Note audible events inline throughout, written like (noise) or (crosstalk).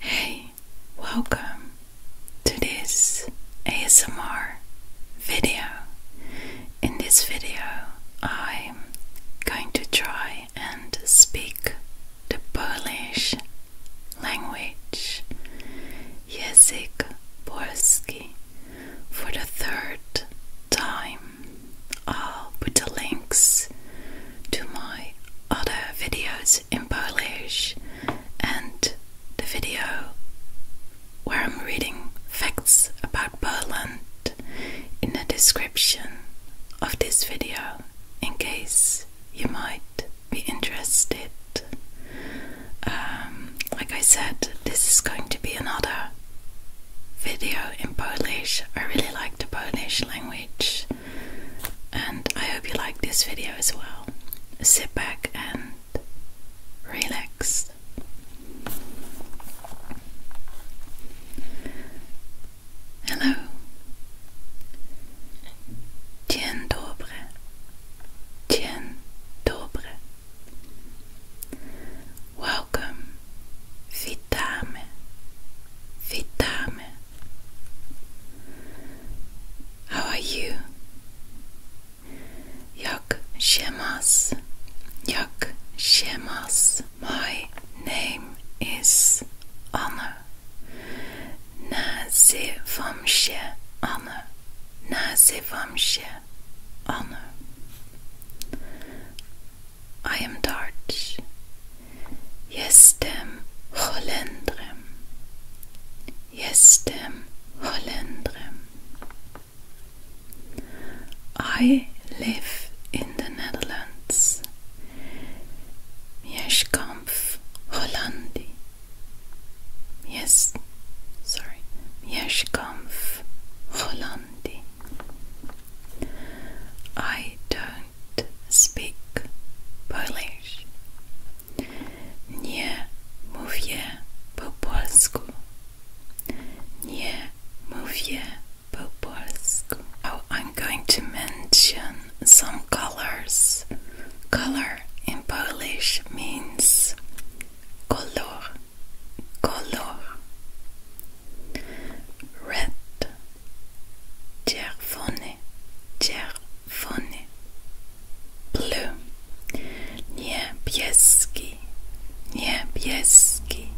Hey, welcome to this ASMR video. In this video, I'm going to try and speak the Polish language. Język polski for the third time. I'll put the links to my other videos in Polish and the video where I'm reading facts about Poland in the description of this video in case you might be interested. Um, like I said, this is going to be another video in Polish. I really like the Polish language and I hope you like this video as well. Sit back and relax. Hello. Dzień dobry. Welcome. Witamy. Witamy. How are you? Yak shemas. Yak shemas. My name is Anna. Nazywam się Anna. Nazywam się Anna. I am Dutch. Jestem Holendrem. Jestem Holendrem. I live in the Netherlands. Mieszkam w Holandii. Yes, sorry. Mieszkam w Holandii. I don't speak Polish. Nie mówię po polsku. Nie mówię po polsku. Oh, I'm going to mention some colors. Color in Polish means color, color. Red, czerwony, czerwony. funny blue niebieski niebieski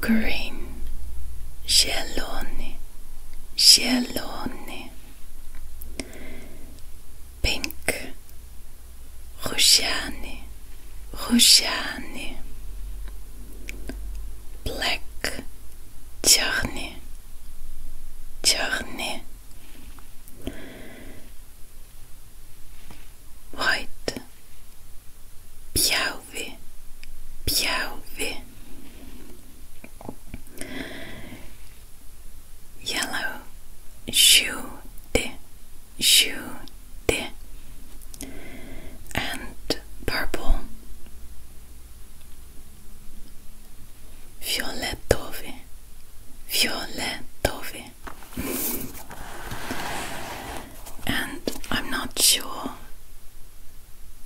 green zielony zielony pink różany różany black czarny Черный, white, Piauvi, Piauvi, yellow, Jude, Jude, and purple. Fioletowy, fioletowy. and I'm not sure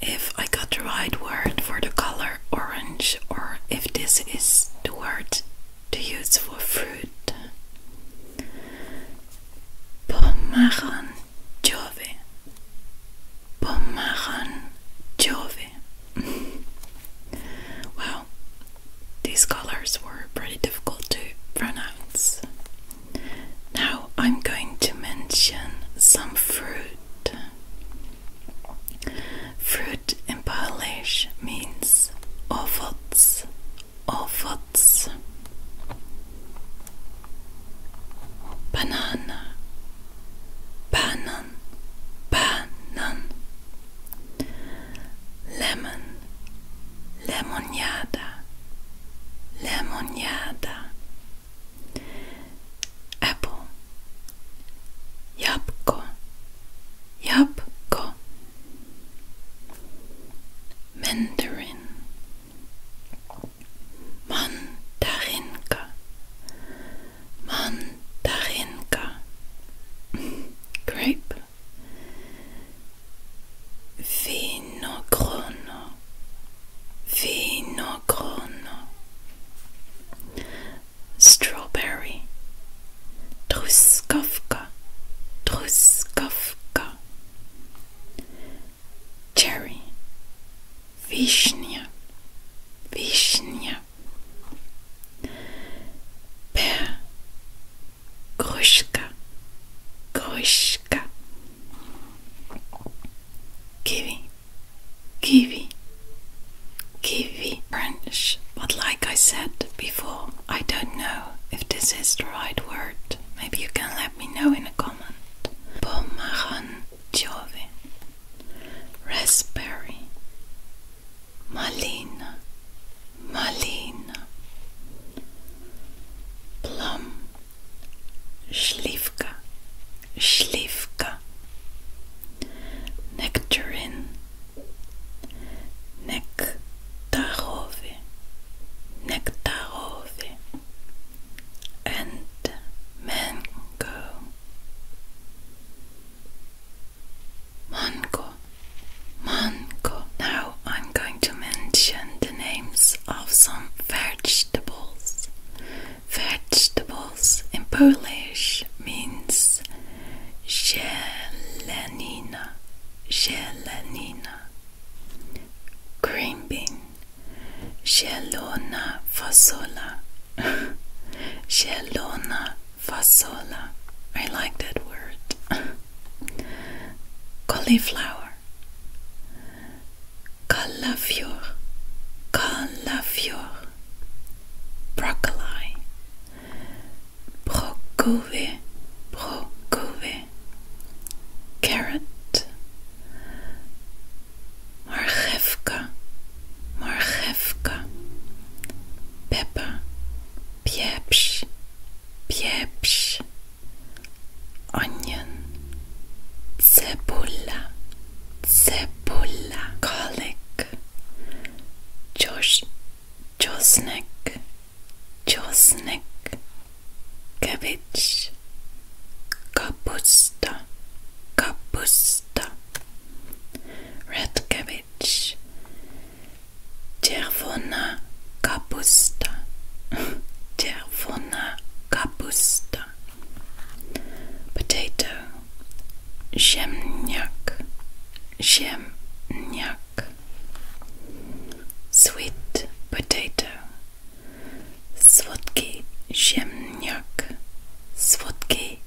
if I got the right word for the color orange or if this is the word to use for fruit. Pomeranjowy, Pomahan Jove. (laughs) Wow, these colors were pretty difficult to pronounce. Now I'm going to mention some fruit. Fruit in Polish means ovots, ovots. Banana, banan banan lemon lemonada lemonada apple jabko jabko mandarin mandarinka mandarinka, grape, vinogrono, vinogrono, strawberry, truskovka, truskovka, cherry, vishnia, vishnia. Pear, Grushka, Grushka, Kiwi, Kiwi, Kiwi French. But like I said before, I don't know if this is the right word. Maybe you can let me know in a comment. Pomaran, Jove, Raspberry, Malina, Malina, Plum, Schlivka, Schlivka, Nectarine, nectarove, nectarove, and Mango. Mango, mango. Now I'm going to mention the names of some vegetables. Vegetables in Polish means zielenina, zielenina. Green bean, zielona fasola, Gelona (laughs) fasola. I like that word. (laughs) Cauliflower. Calafior. Calafior. Broccoli. Broccoli. Broccoli. Carrot marchewka, marchewka, pepper, pieprz, pieprz, onion, cebula, cebula, garlic, Josh, Josnik, Josnik, cabbage, kapusta, kapusta, Red cabbage, Czerwona kapusta, Czerwona (laughs) kapusta, potato, Ziemniak, Ziemniak, sweet potato, Słodki ziemniak, Słodki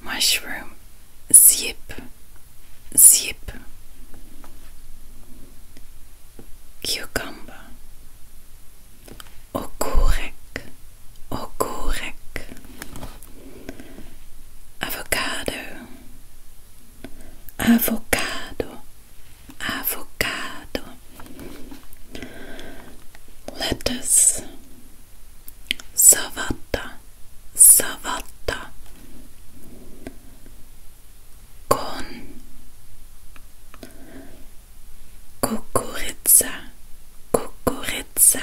mushroom zip zip cucumber okurek okurek avocado avocado avocado lettuce savatta savatta kon kukuritsa kukuritsa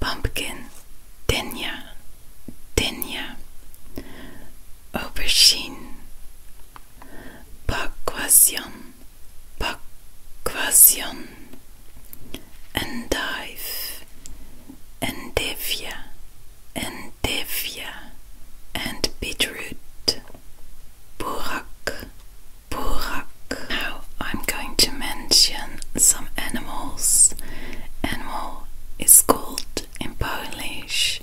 pumpkin dinya dinya aubergine Bakwasion, Bakwasion, and dive, and devia, and devia, and beetroot, burak, burak. Now I'm going to mention some animals. Animal is called in Polish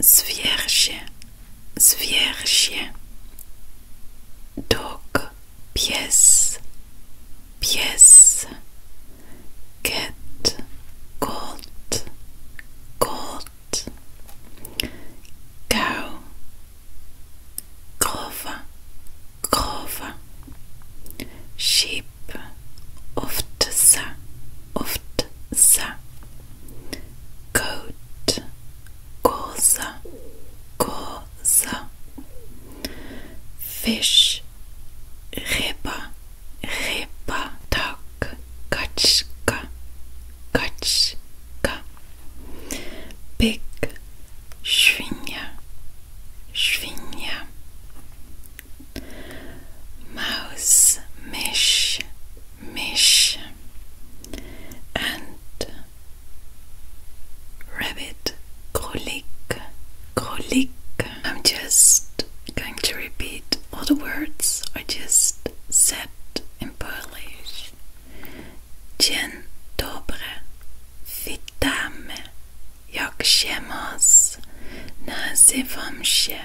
zwierzę zwierzę dog pies pies cat goat goat cow krowa krowa sheep oftsa oftsa Goat, cosa cosa fish riba riba duck kachka kachka Pig, Schwinya, Schwinya, Mouse, Mish, mish and rabbit krolik krolik I'm just going to repeat all the words I just said in Polish Dzień dobry witamy jak się masz nazywam się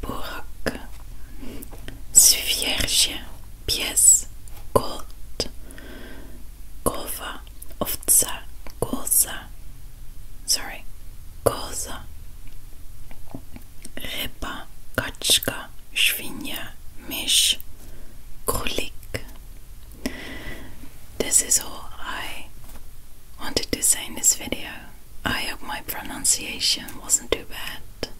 Burg, Svierge, Pies, Gold, Kowa, Owca, Koza, sorry, Koza, Ryba, Kaczka, Świnia, Mysz, Królik. This is all I wanted to say in this video. I hope my pronunciation wasn't too bad.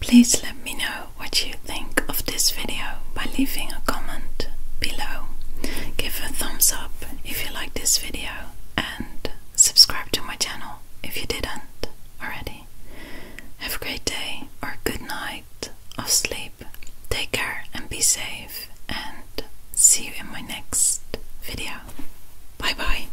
Please let me know what you think of this video by leaving a comment below. Give a thumbs up if you like this video and subscribe to my channel if you didn't already. Have a great day or good night of sleep. Take care and be safe and see you in my next video. Bye bye.